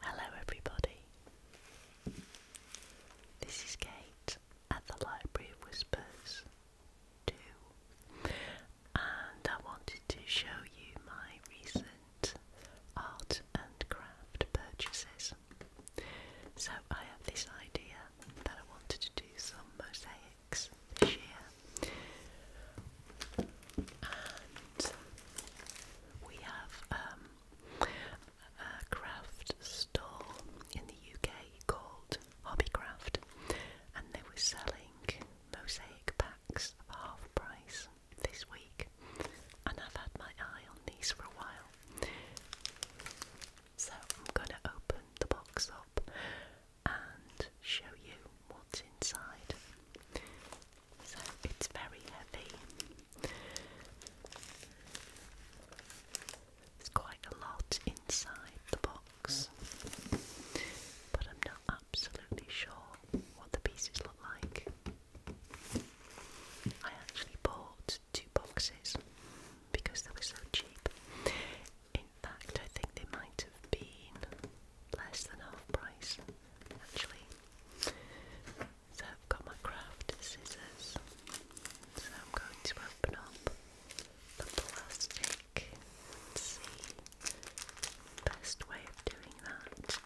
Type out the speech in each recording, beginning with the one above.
Hello, everybody. This is Kate at the Library Whispers 2, and I wanted to show you my recent art and craft purchases. So, I have this idea that I wanted to do some mosaics this year. And we have um, a craft store in the UK called Hobbycraft, and they were selling mosaic packs at half price this week. And I've had my eye on these for a while. So I'm going to open the box up and show you what's inside. So it's very heavy. There's quite a lot inside the box, but I'm not absolutely sure what the pieces look like. I actually bought two boxes because they were so cheap. In fact, I think they might have been less than half price actually. So I've got my craft scissors. So I'm going to open up the plastic see. best way of doing that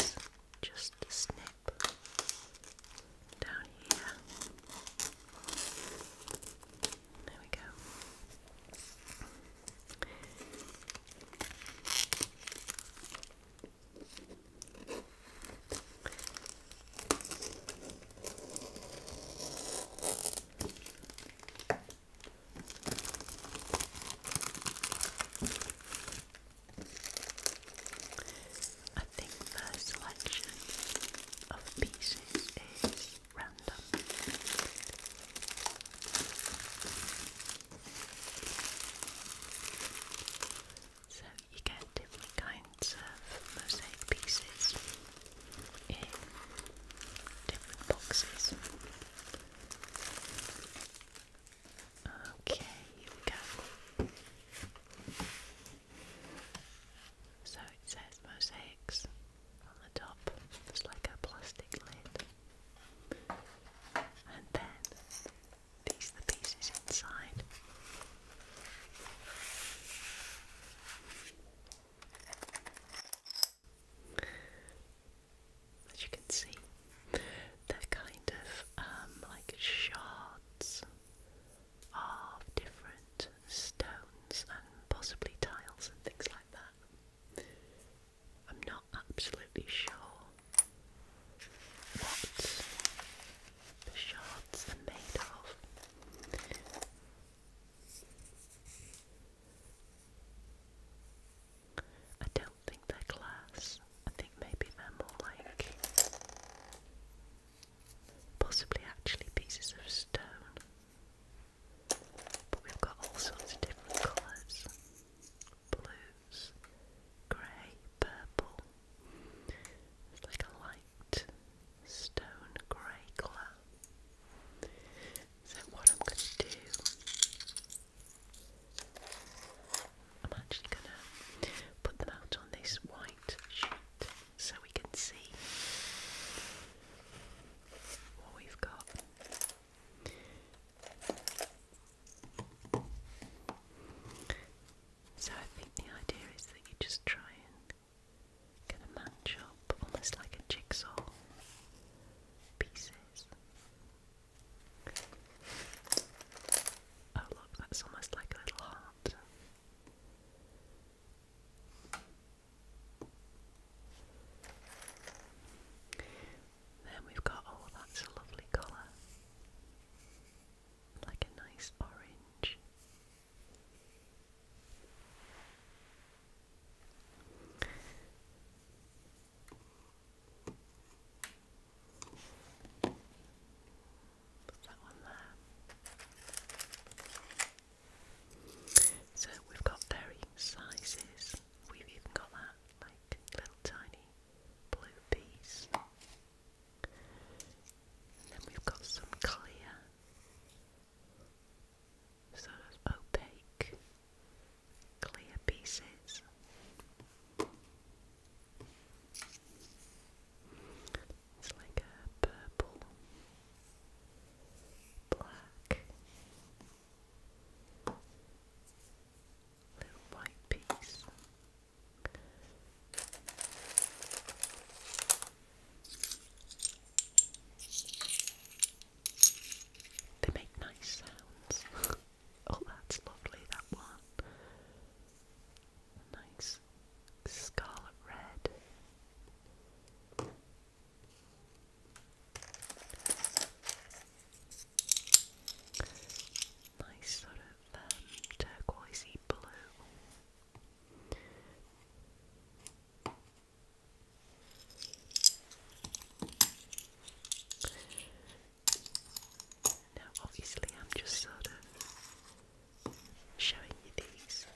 is just snip down here. There we go. I think the selection of pieces is random. So you get different kinds of mosaic pieces in different boxes. Okay, here we so it says mosaics on the top, just like a plastic lid. And then these are the pieces inside. As you can see, they're kind of um, like shards of different stones and possibly tiles and things like that. I'm not absolutely sure what the shards are made of. I don't think they're glass. I think maybe they're more like possibly actually pieces of stone. But we've got all sorts of different colours blues, grey, purple. It's like a light stone grey colour. So, what I'm going to do, I'm actually going to put them out on this white sheet so we can see what we've got. So I think the idea is that you just try and kind of match up almost like a jigsaw pieces. Oh look, that's almost like a little heart. Then we've got, oh, that's a lovely colour. Like a nice orange. So we've got varying sizes. We've even got that like little tiny blue piece. then we've got some clear, sort of opaque, clear pieces. It's like a purple, black, little white piece. They make nice sounds. oh, that's lovely, that one nice scarlet red. Nice sort of um, turquoisey blue. Now, obviously, I'm just sort of showing you these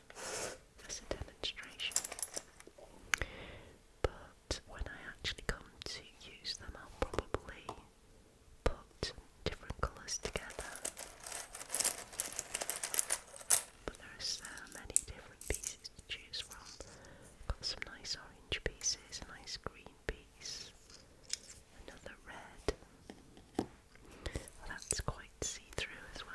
as a demonstration. But when I actually come to use them, I'll probably put different colours together. But there are so many different pieces to choose from. Got some nice orange pieces, nice green piece, another red. That's quite see through as well.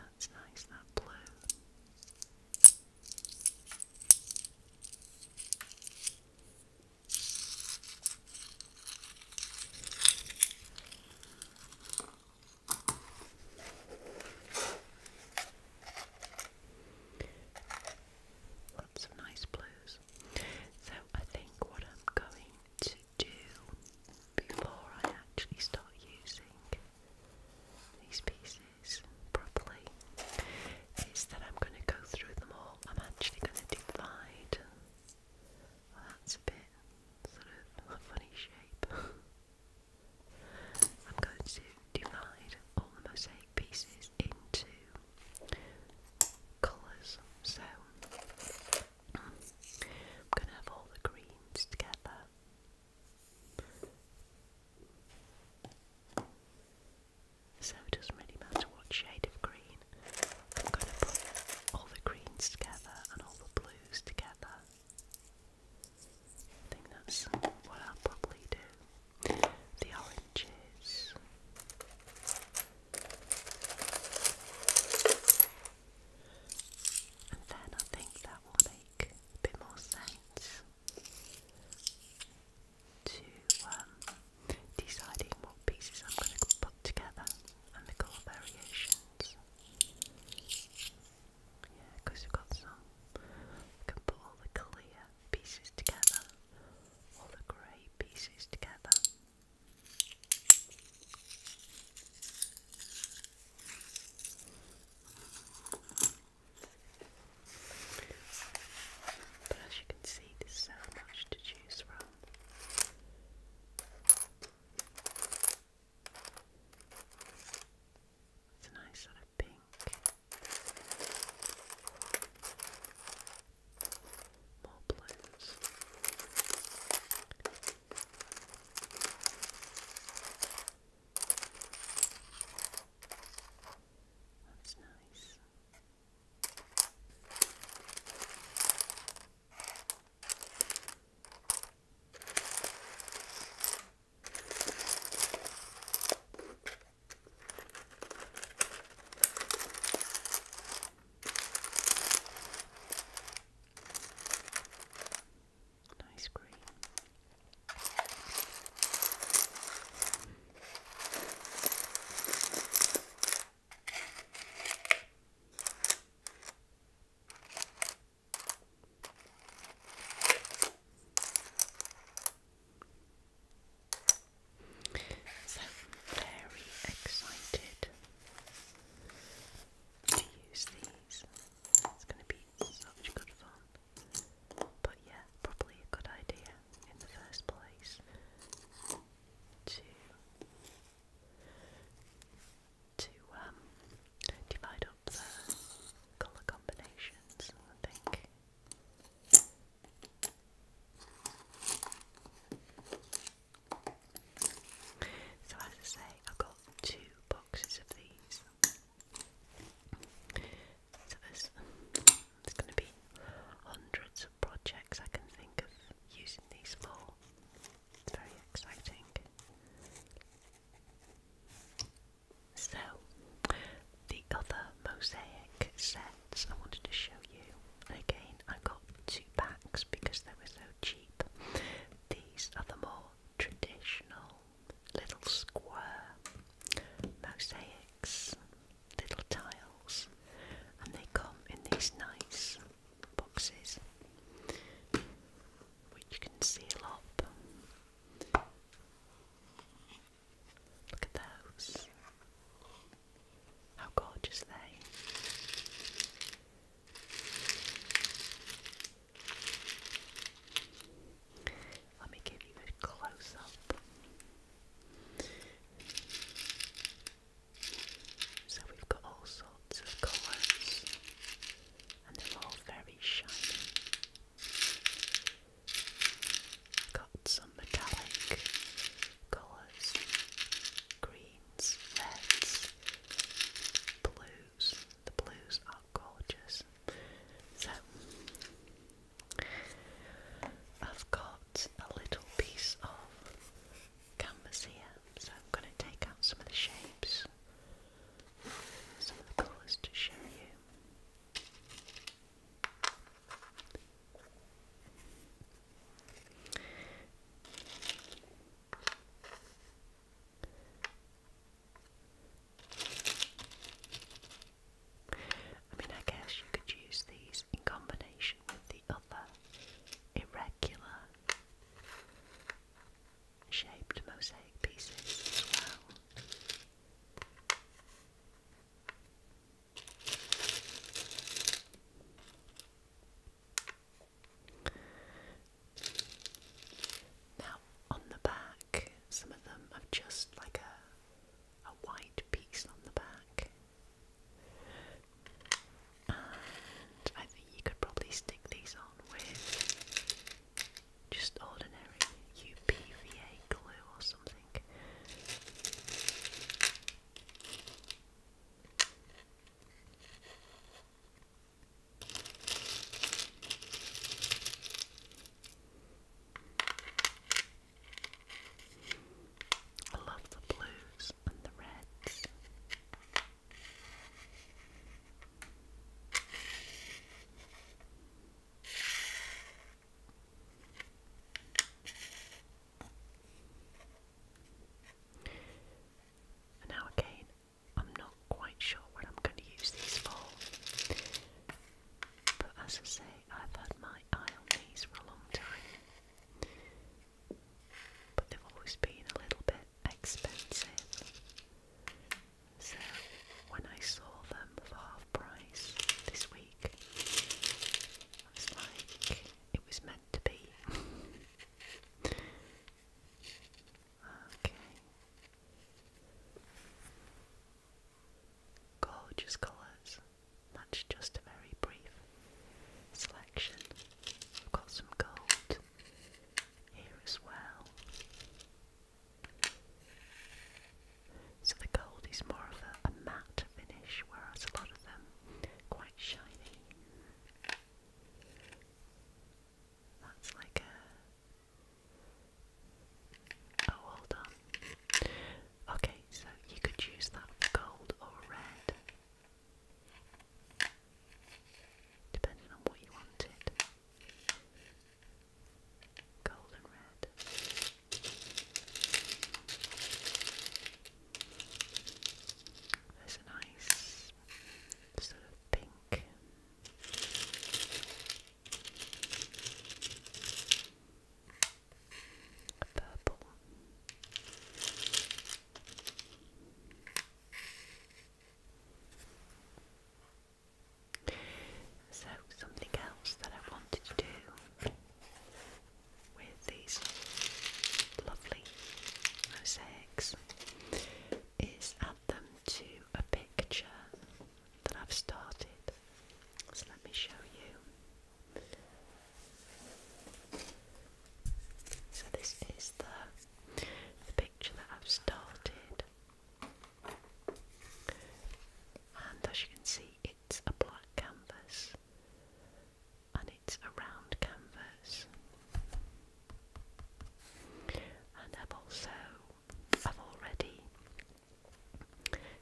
That's nice, that blue. Lots of nice blues. So I think what I'm going to do before I actually start using these pieces properly is that I'm going to go through them all. I'm actually going to divide. that's a bit sort of a funny shape. I'm going to divide all the mosaic pieces into colours. So I'm going to have all the greens together. So it doesn't really matter what shade of green. I'm going to put all the greens together and all the blues together. I think that's what I'll probably do. The oranges. And then I think that will make a bit more sense to um, deciding what pieces I'm going to put together and the colour variations. Yeah, because you've got some. You can put all the clear pieces together, all the grey pieces together. But as you can see, there's so much to choose from. It's a nice sort of pink. More blues. That's nice. Nice green. So very excited to use these. It's going to be such good fun. But yeah, probably a good idea in the first place to to um divide up the colour combinations, I think. So, as I say, I've got two boxes of these. So, there's, there's going to be hundreds of projects I can think of using these for. It's very exciting. So, the other mosaic sets I wanted to show you, again I got two packs because they were so cheap. These are the more traditional little square mosaics, little tiles, and they come in these nice boxes which you can seal up Look at those. How gorgeous they. Let me give you a close up. So we've got all sorts of colours and they're all very shiny. Got some metallic colours, greens, reds, blues. The blues are gorgeous. So, I've got a little piece of canvas here, so I'm going to take out some of the shapes some of the colours to show you. I mean, I guess you could use these in combination with the other irregular shaped mosaic pieces Now, on the back, some of them have just like a, a white piece on the back, and I think you could probably stick these on with just ordinary UPVA glue or something. I love the blues and the reds. And now again, I'm not quite sure what I'm going to use these for. But as I say, I've had my eye on these for a long time. But they've always been a little bit expensive. So when I saw them for half price this week, I was like, it was meant to be. okay. Gorgeous colours. That's just a very brief selection. I've got some gold, white here as well. So the gold is more of a, a matte finish, whereas a lot of them quite shiny. That's like a. Oh, hold on. Okay, so you could use that for gold or red depending on what you wanted. Gold and red. There's a nice sort of pink. A purple. So, something else that I wanted to do with these lovely mosaics is add them to a picture that I've started. So, let me show you. So, this is the, the that I've started and as you can see it's a black canvas and it's a round canvas and I've also I've already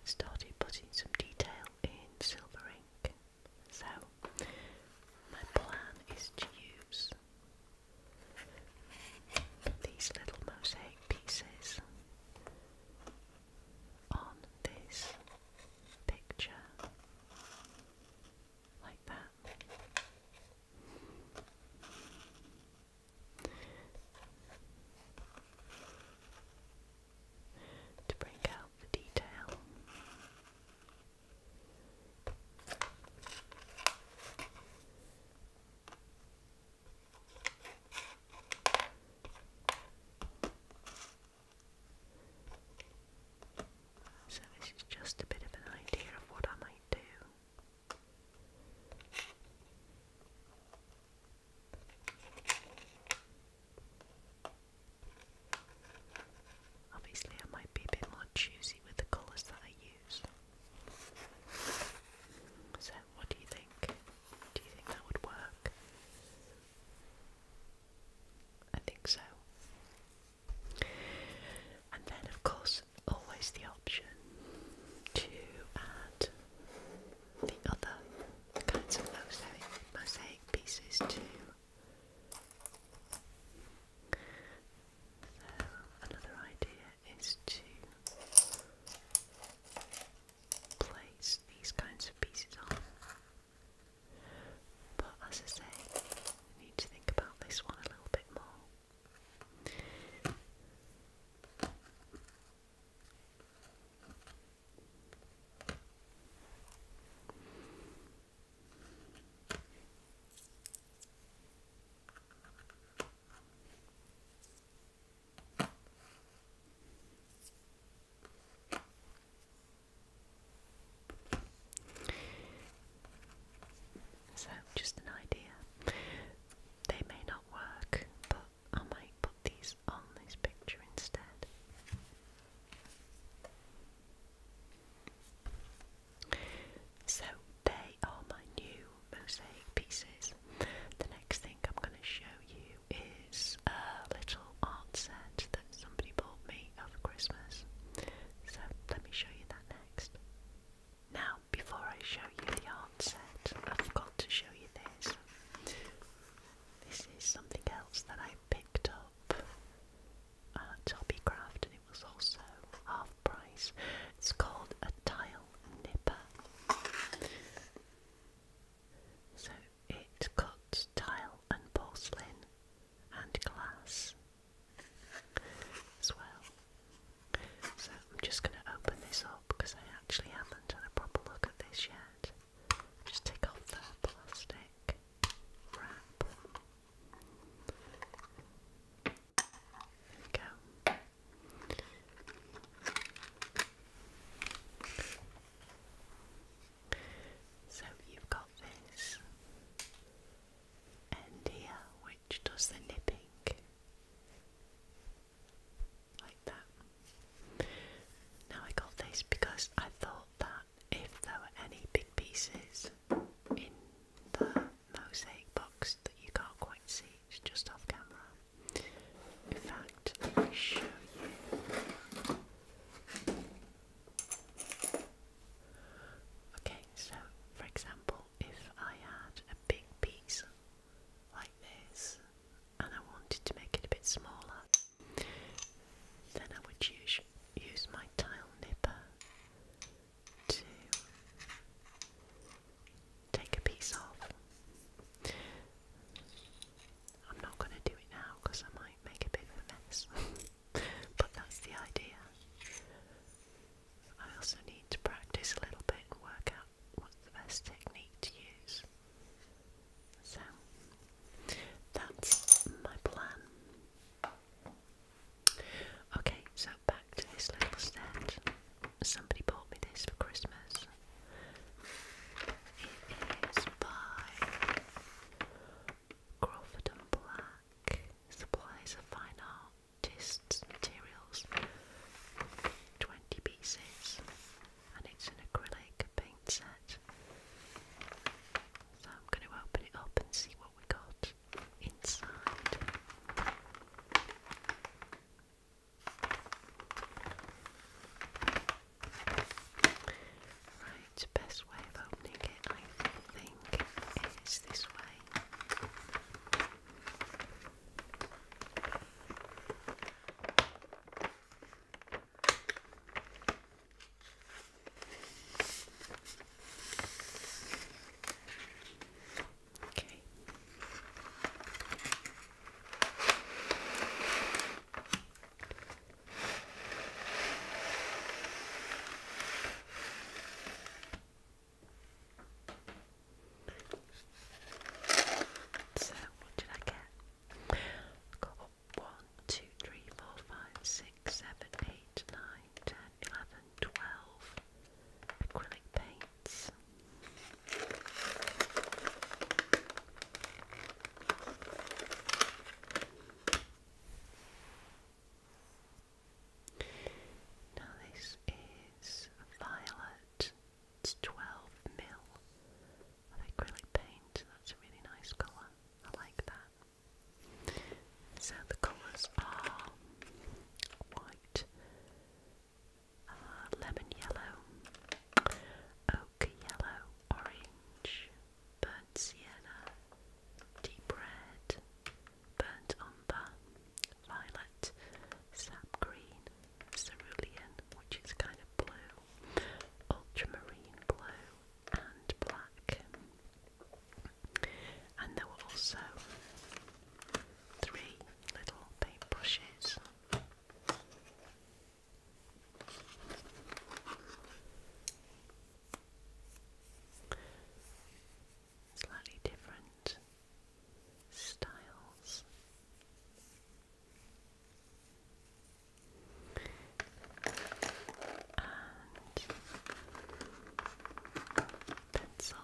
started putting some detail in silver ink so my plan is to use these little mosaic pieces on this picture, like that, to bring out the detail. So, this is just a bit of an idea of what I might do. Obviously, I might be a bit more choosy with the colours that I so, what do you think? Do you think that would work? I think so. And then, of course, always the option to add the other kinds of mosaic, mosaic pieces too another idea is to place these kinds of pieces on. But as I say, need to think about this one a little bit more. So, just an idea. They may not work, but I might put these on this picture instead. So they are my new mosaic pieces. The next thing I'm going to show you is a little art set that somebody bought me over Christmas. So let me show you that next. Now, before I show you the art set, I've got to show you this. This is something else that I picked up at uh, Hobbycraft and it was also half price. It's called a tile nipper. So it cuts tile and porcelain and glass as well. So I'm just going to open this up because I actually haven't had a proper look at this yet. Just take off the plastic wrap. There So you've got this end here, which does the nipping like that. Now I got this because I thought that if there were any big pieces in the mosaic box that you can't quite see, it's just off camera. In fact, let me show you. Okay, so for example, if I had a big piece like this and I wanted to make it a bit smaller, then I would use, use my tile nipper to take a piece off. I'm not going to do it now because I might make a bit of a mess, but that's the idea. I also need to practice a little bit and work out what's the best technique to use. So that's my plan. Okay, so back to this little set. Somebody bought me this for Christmas. It is by Crawford and Black. Supplies of fine artists' materials. 20 pieces. And it's an acrylic paint set. So I'm going to open it up and see what we got inside. Right, best way of opening it, I think, is this way. Okay. So, what did I get? got one, two, three, four, five, six, seven, eight, nine, 10, 11, acrylic paints. Now, this is violet, it's 12 mil acrylic paint. That's a really nice colour. I like that. So the colours are white, uh, lemon yellow, ochre yellow, orange, burnt sienna, deep red, burnt umber, violet, sap green, cerulean, which is kind of blue, ultramarine blue, and black and there were also three little paintbrushes. Slightly different styles pencil.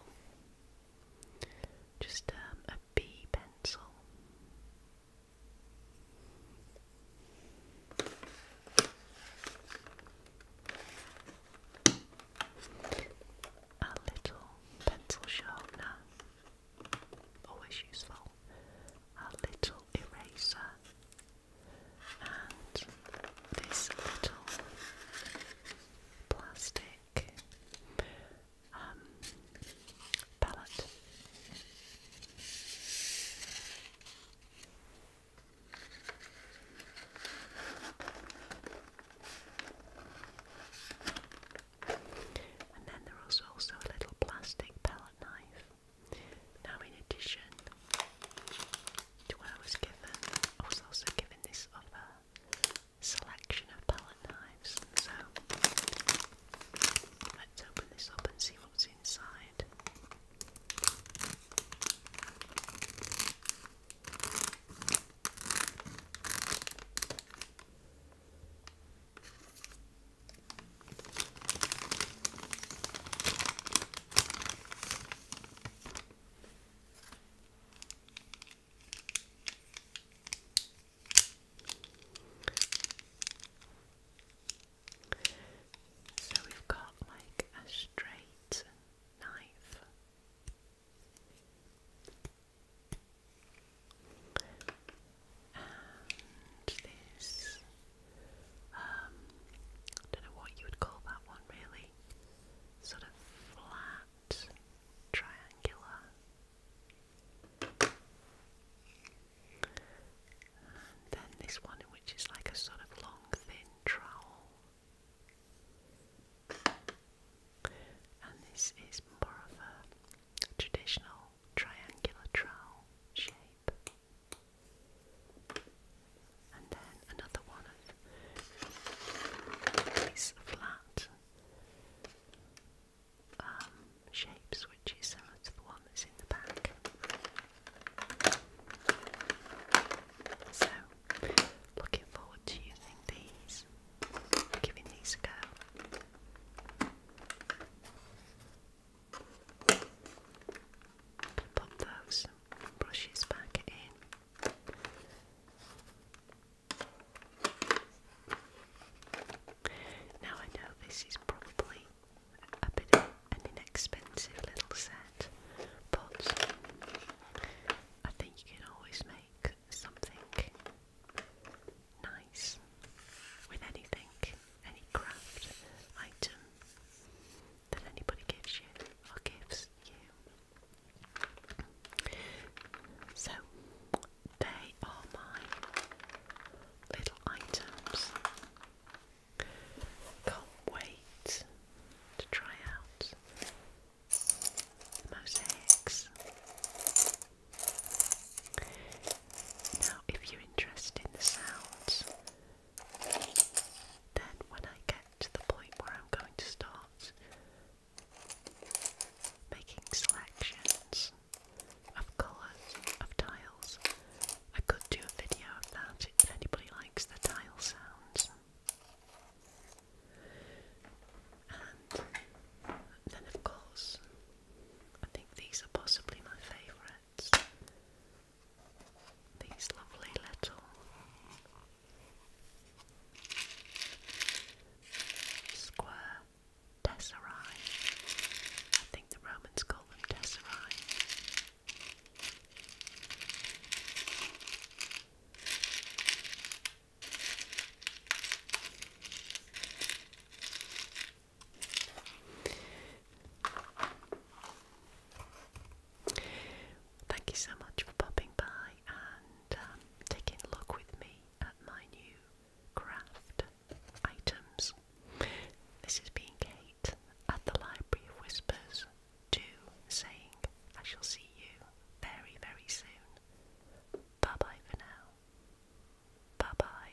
Just um, a B pencil. A little pencil sharpener, always useful. A little eraser, and this little plastic um, palette. And then there also a little plastic palette knife now, in addition to what I was given, I was also given this other selection of palette knives. So, let's open this up and see what's inside. So we've got like a straight knife. And this I um, don't know what you would call that one really, sort of flat, triangular. And then this one, which is like a sort of long, thin trowel. And this is more of a traditional triangular trowel shape shape. And then another one of these flat um, shapes, which is similar to the one that's in the back. So, looking forward to using these, giving these a go. Pop those brushes back in. Now I know this is probably a bit an inexpensive little set, but I think you can always make something nice with anything, any craft item that anybody gives you or gives you. So they are my little items. Can't wait to try out the mosaics. Now, if you're interested in the sounds then, when I get to the point where I'm going to start making selections of colours, of tiles, I could do a video of that if anybody likes the tile sounds. And then, of course, I think these are possibly my favourites these lovely little square tesserae. I think the Romans call them tesserae. Thank you so much for popping by and um, taking a look with me at my new craft items. This has been Kate at the Library of Whispers 2 saying I shall see you very, very soon. Bye bye for now. Bye bye.